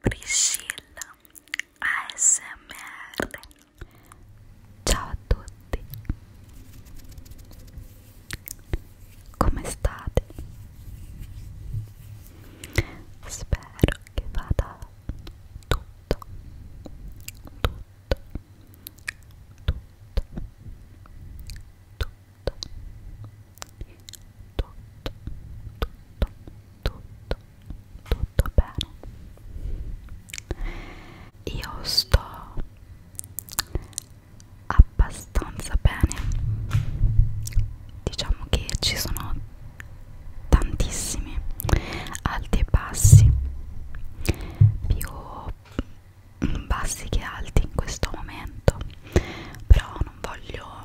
Priscilla ASMR Ciao a tutti Come state? Spero che vada tutto tutto tutto tutto tutto, tutto, tutto, tutto bene. Io sto abbastanza bene. Diciamo che ci sono tantissimi alti e bassi, più bassi che alti in questo momento, però non voglio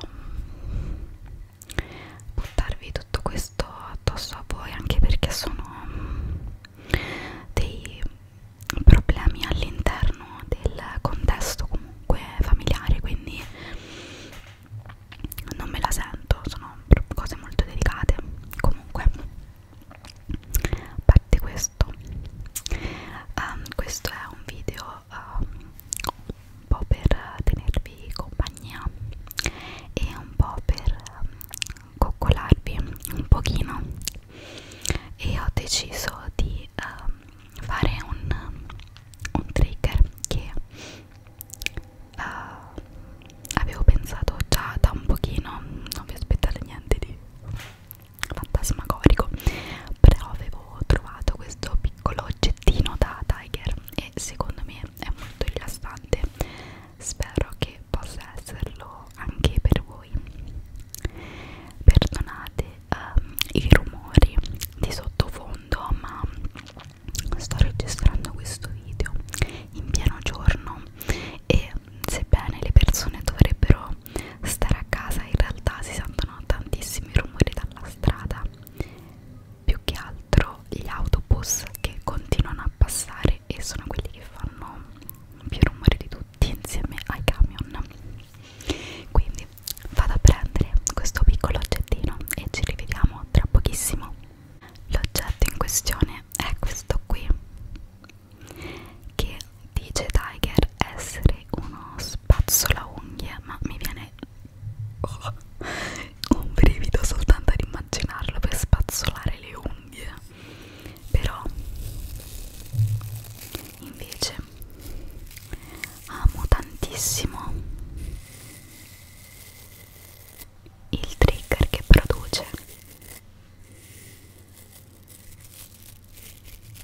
buttarvi tutto questo addosso a voi anche perché sono mm, dei problemi all'interno del contesto comunque familiare quindi non me la sento sono cose molto delicate comunque a parte questo um, questo è un video um, un po' per tenervi compagnia e un po' per um, coccolarvi un pochino e ho deciso di um, fare un, um, un trigger che uh, avevo pensato già da un pochino non vi aspettate niente di fantasmagorico però avevo trovato questo piccolo oggetto oggettino da Tiger e secondo me è molto rilassante spero che possa esserlo anche per voi perdonate um, i rumori di sottofondo ma sto registrando questo video in pieno giorno e sebbene le persone dovrebbero stare a casa in realtà si sentono tantissimi rumori dalla strada più che altro gli autobus che continuano a passare e sono quelli che fanno più rumore di tutti insieme ai camion quindi vado a prendere questo piccolo oggettino e ci rivediamo tra pochissimo l'oggetto in questione è questo qui che dice Tiger essere uno spazzola unghie ma mi viene oh, un brivido soltanto ad immaginarlo per spazzolare le unghie però invece amo tantissimo il trigger che produce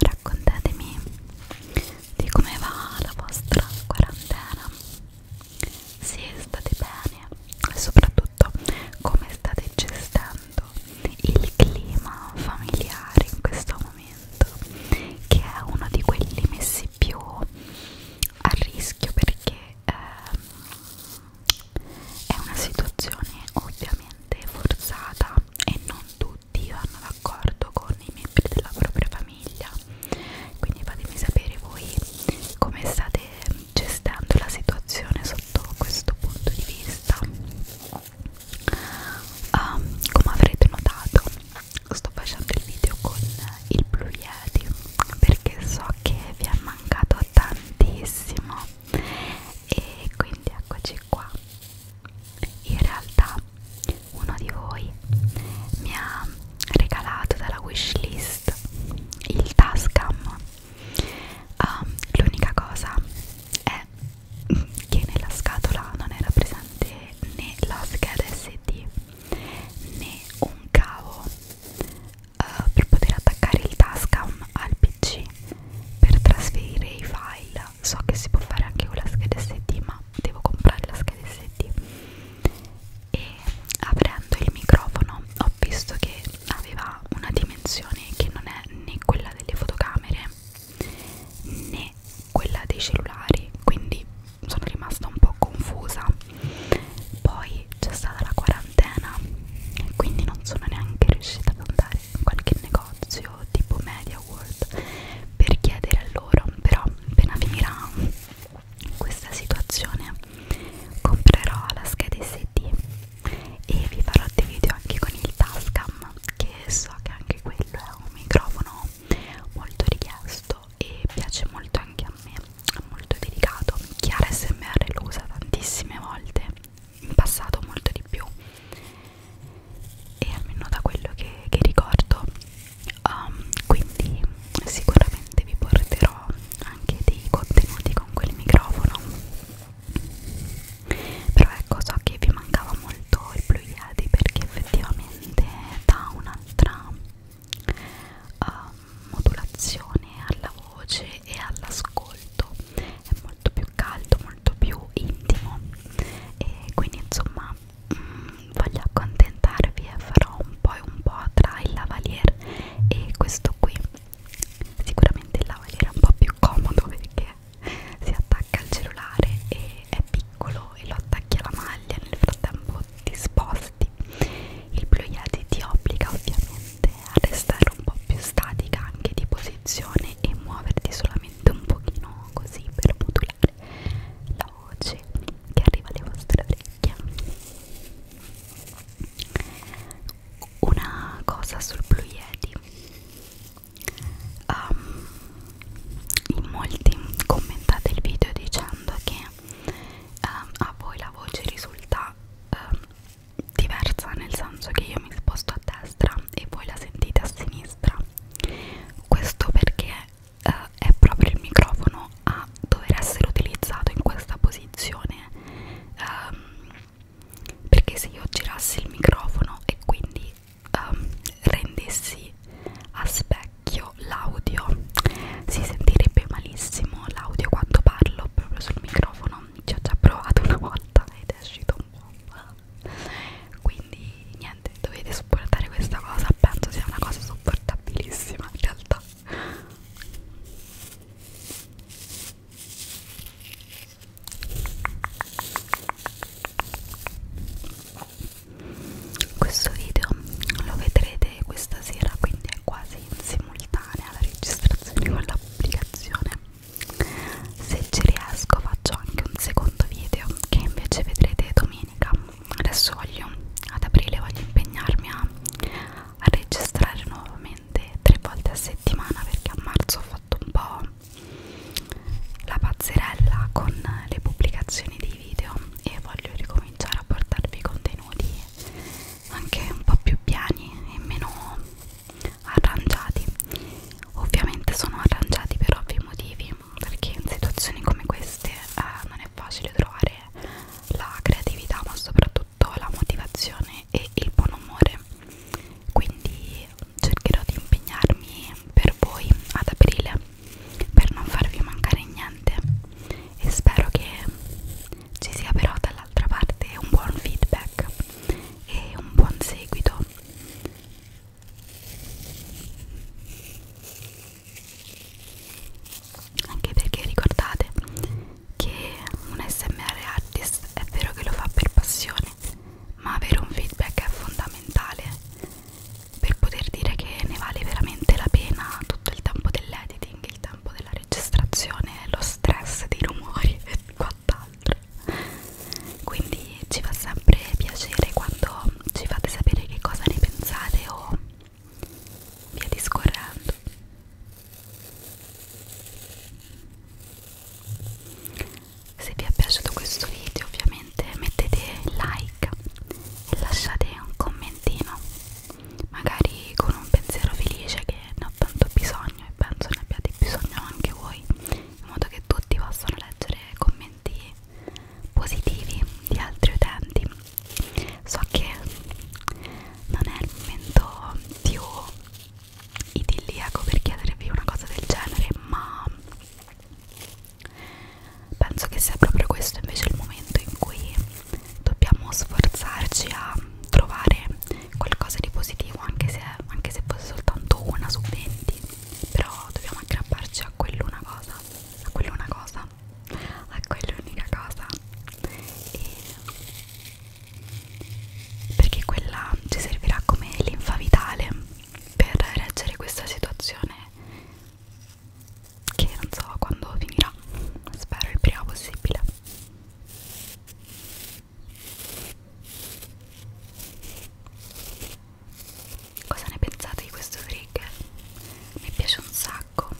Raccontatemi di come va la vostra quarantena se state bene e soprattutto come state gestendo il clima familiare in questo momento che è uno di quelli messi più a rischio perché eh, è una situazione ovviamente forzata e non tutti vanno d'accordo con i membri della propria famiglia quindi fatemi sapere voi come state gestendo la situazione sotto questo punto di vista um, come avrete notato sto facendo il video con il Blue Yeti perché so che vi è mancato tantissimo e quindi eccoci qua in realtà uno di voi mi ha regalato dalla wishlist il Tascam um, l'unica cosa è che nella scatola non era presente né la scheda SD né un cavo uh, per poter attaccare il Tascam al PC per trasferire i file so che si può fare anche con la scheda SD ma devo comprare la scheda SD e aprendo il microfono ho visto che aveva una dimensione che non è né quella delle fotocamere né quella dei cellulari quindi sono rimasta un po' confusa poi c'è stata la quarantena quindi non sono neanche riuscita ad andare in qualche negozio tipo Media World per chiedere a loro però appena finirà in questa situazione comprerò la scheda SD e vi farò dei video anche con il Tascam che so che anche quello è un microfono molto richiesto e piace molto anche a me è molto delicato Chiara SMR lo usa tantissime volte in passato molto di più e almeno da quello che, che ricordo um, quindi sicuramente vi porterò anche dei contenuti con quel microfono però ecco so che vi mancava molto il Blue Yeti perché effettivamente dà un'altra uh, modulazione alla voce e all'ascolto è molto più caldo molto più intimo e quindi insomma mh, mm, voglio accontentare accontentarvi e farò un po' e un po' tra il lavalier e questo qui sicuramente il lavalier è un po' più comodo perché si attacca al cellulare e è piccolo e lo attacchi alla maglia nel frattempo ti sposti il ploiati ti obbliga ovviamente a restare un po' più statica anche di posizione e muoverti solamente un pochino così per modulare la voce che arriva alle vostre orecchie una cosa sul Blue Yeti um, in molti commentate il video dicendo che um, a voi la voce risulta um, diversa nel senso che io mi sposto a destra e voi la sentite a sinistra questo perché eh, cosa è proprio il microfono a dover essere utilizzato in questa posizione um, perché se io girassi il microfono e quindi um, rendessi a specchio l'audio si sentirebbe malissimo l'audio quando parlo proprio sul microfono ci ho già provato una volta ed è uscito un po' quindi niente dovete supportare questa cosa penso sia una cosa sopportabilissima in realtà questo video lo vedrete questa sera quindi è quasi in simultanea la registrazione con l'applicazione se ci riesco faccio anche un secondo video che invece vedrete domenica adesso voglio ad aprile voglio impegnarmi a, a registrare nuovamente tre volte a settimana perché a marzo ho fatto un po' la pazzerella con le pubblicazioni dei video e voglio ricominciare a portarvi contenuti anche un po' più piani e meno arrangiati ovviamente sono arrangiati per ovvi motivi perché in situazioni come queste eh, non è facile trovare la creatività ma soprattutto la motivazione e il buon umore quindi cercherò di impegnarmi per voi ad aprile per non farvi mancare niente e spero che ci sia però dall'altra parte un buon feedback e un buon seguito anche perché ricordate che un smr artist è vero che lo fa per passione ma avere un feedback è fondamentale per poter dire che ne vale veramente la pena tutto il tempo dell'editing il tempo della registrazione lo stress dei rumori e quant'altro quindi ci fa sempre piacere quando ci fate sapere che cosa ne pensate o via discorrendo se vi è piaciuto questo video ovviamente mettete like e lasciate un commentino magari con un pensiero felice che ne ho tanto bisogno e penso ne abbiate bisogno anche voi in modo che tutti possano leggere commenti positivi di altri utenti so che non è il momento più idilliaco per chiedervi una cosa del genere ma penso che sia proprio questo invece il momento in cui dobbiamo sforzarci a trovare qualcosa di positivo anche se, anche se fosse soltanto una su 20 però dobbiamo aggrapparci a quell'una cosa a quell'una cosa cosa ecco, l'acqua è l'unica cosa e perché quella ci servirà come linfa vitale per reggere questa situazione che non so quando finirà spero il prima possibile cosa ne pensate di questo trigger? mi piace un sacco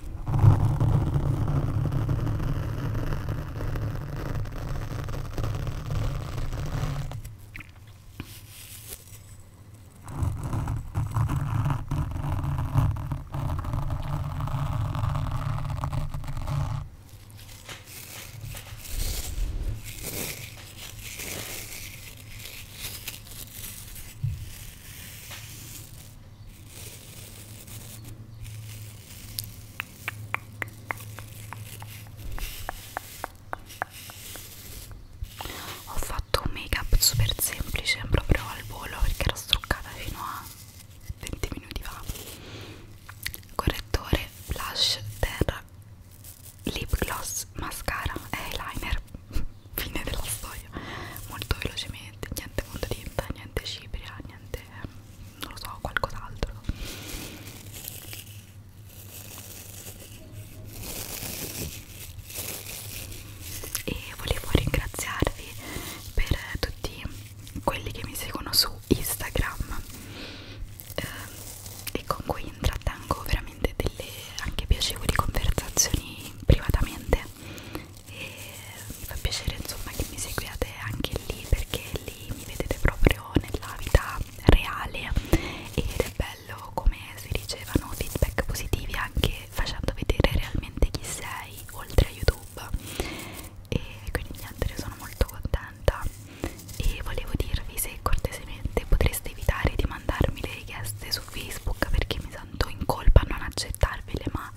ho fatto un make up super semplice proprio al volo perché ero struccata fino a 20 minuti fa. Correttore, blush, terra, lip gloss, mascara e eyeliner fine della storia molto velocemente niente Montedinta, niente Cipria, niente non lo so, qualcos'altro e volevo ringraziarvi per tutti quelli che mi seguono su Instagram eh, e con cui intrattengo veramente delle anche piacevoli conversazioni privatamente e mi fa piacere insomma che mi seguiate anche lì perché lì mi vedete proprio nella vita reale ed è bello come si ricevano feedback positivi anche facendo vedere realmente chi sei oltre a YouTube e quindi niente ne sono molto contenta e volevo dirvi se cortesemente potreste evitare di mandarmi le richieste su Facebook perché mi tanto in colpa non accettarvele ma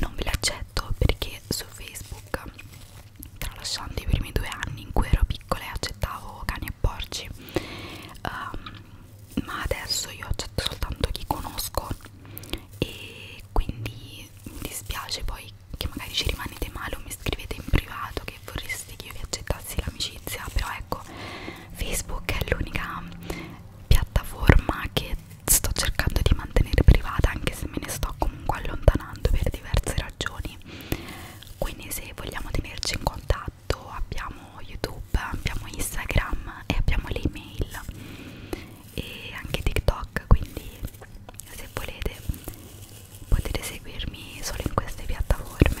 non ve le accetto perché su Facebook tralasciando i primi due anni in cui ero piccola e accettavo cani e porci um, ma adesso io accetto soltanto chi conosco e quindi mi dispiace poi che magari ci rimanete male o mi scrivete in privato che vorreste che io vi accettassi l'amicizia però ecco Facebook è l'unica piattaforma che sto cercando di mantenere privata anche se me ne sto comunque allontanando per diverse ragioni quindi se vogliamo tenerci in contatto abbiamo YouTube, abbiamo Instagram e abbiamo l'email e anche TikTok quindi se volete potete seguirmi solo in queste piattaforme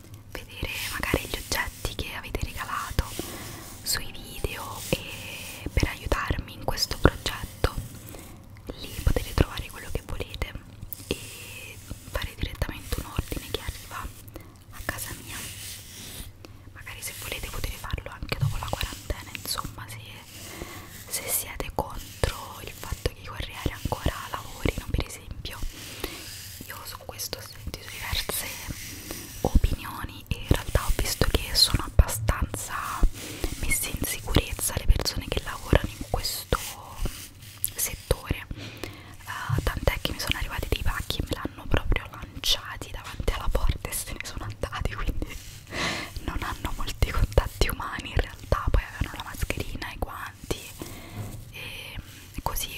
vedere magari gli oggetti che avete regalato sui video e per aiutarmi in questo progetto lì potete trovare quello che volete e fare direttamente un ordine che arriva a casa mia magari se volete potete farlo anche dopo la quarantena insomma se, se siete contro il fatto che i corrieri ancora lavorino per esempio io su questo ho sentito diverse opinioni e in realtà ho visto che sono abbastanza messe in sicurezza le persone che lavorano in questo settore uh, tant'è che mi sono arrivati dei pacchi e me l'hanno proprio lanciati davanti alla porta e se ne sono andati quindi non hanno molti contatti umani in realtà poi avevano la mascherina e guanti avanti e così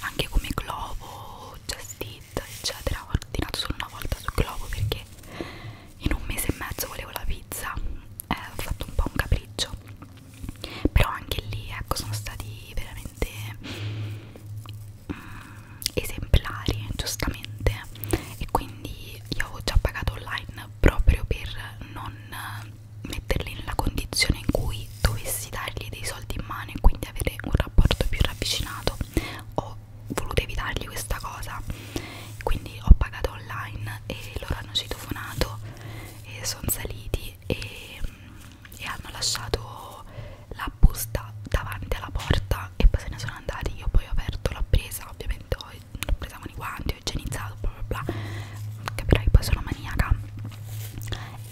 anche come globo just it eccetera ho ordinato solo una volta su globo perché in un mese e mezzo volevo la pizza eh, ho fatto un po' un capriccio però anche lì ecco sono stati veramente mm, esemplari giustamente e quindi io avevo già pagato online proprio per non metterli nella condizione in cui dovessi dargli dei soldi in mano e quindi avere un rapporto più ravvicinato ho voluto evitargli questa cosa quindi ho pagato online e loro hanno citofonato e sono saliti e, e hanno lasciato la busta davanti alla porta e poi se ne sono andati io poi ho aperto l'ho presa ovviamente l'ho presa con i guanti ho igienizzato bla bla bla capirai poi sono maniaca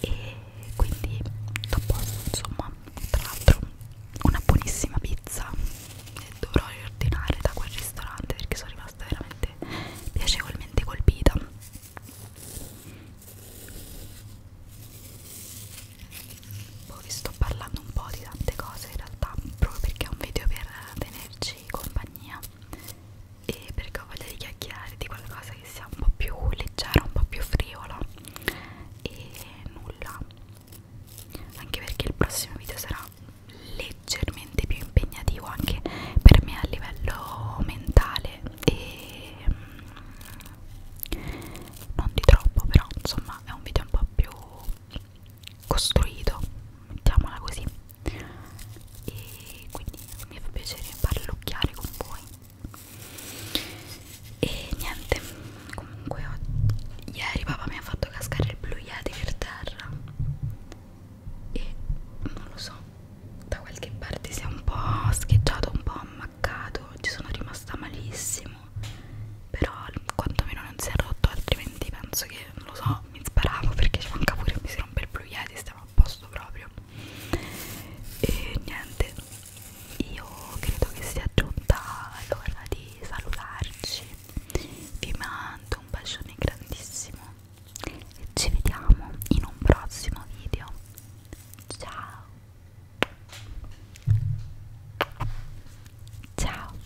e quindi dopo insomma tra l'altro una buonissima pizza e dovrò riordinare da quel ristorante perché sono rimasta veramente piacevolmente colpita poi vi sto parlando un po' di tante cose in realtà proprio perché è un video per tenerci compagnia e perché ho voglia di chiacchierare di qualcosa che sia un po' più leggera, un po' più frivola e nulla anche perché il prossimo video sarà leggermente più impegnativo anche per me a livello mentale e mm, non di troppo però insomma è un video un po' più costruito mettiamola così e quindi mi fa piacere parlocchiare con voi e niente comunque oggi, ieri papà mi ha fatto cascare il blu yeti per terra e non lo so da qualche parte si è un po' scheggiato un po' ammaccato ci sono rimasta malissimo però quantomeno non si è rotto altrimenti penso che non lo so mi sparavo perché ci manca pure mi si rompe il blu yeti stiamo a posto proprio e niente io credo che sia giunta l'ora di salutarci vi mando un bacione grandissimo e ci vediamo in un prossimo video ciao ciao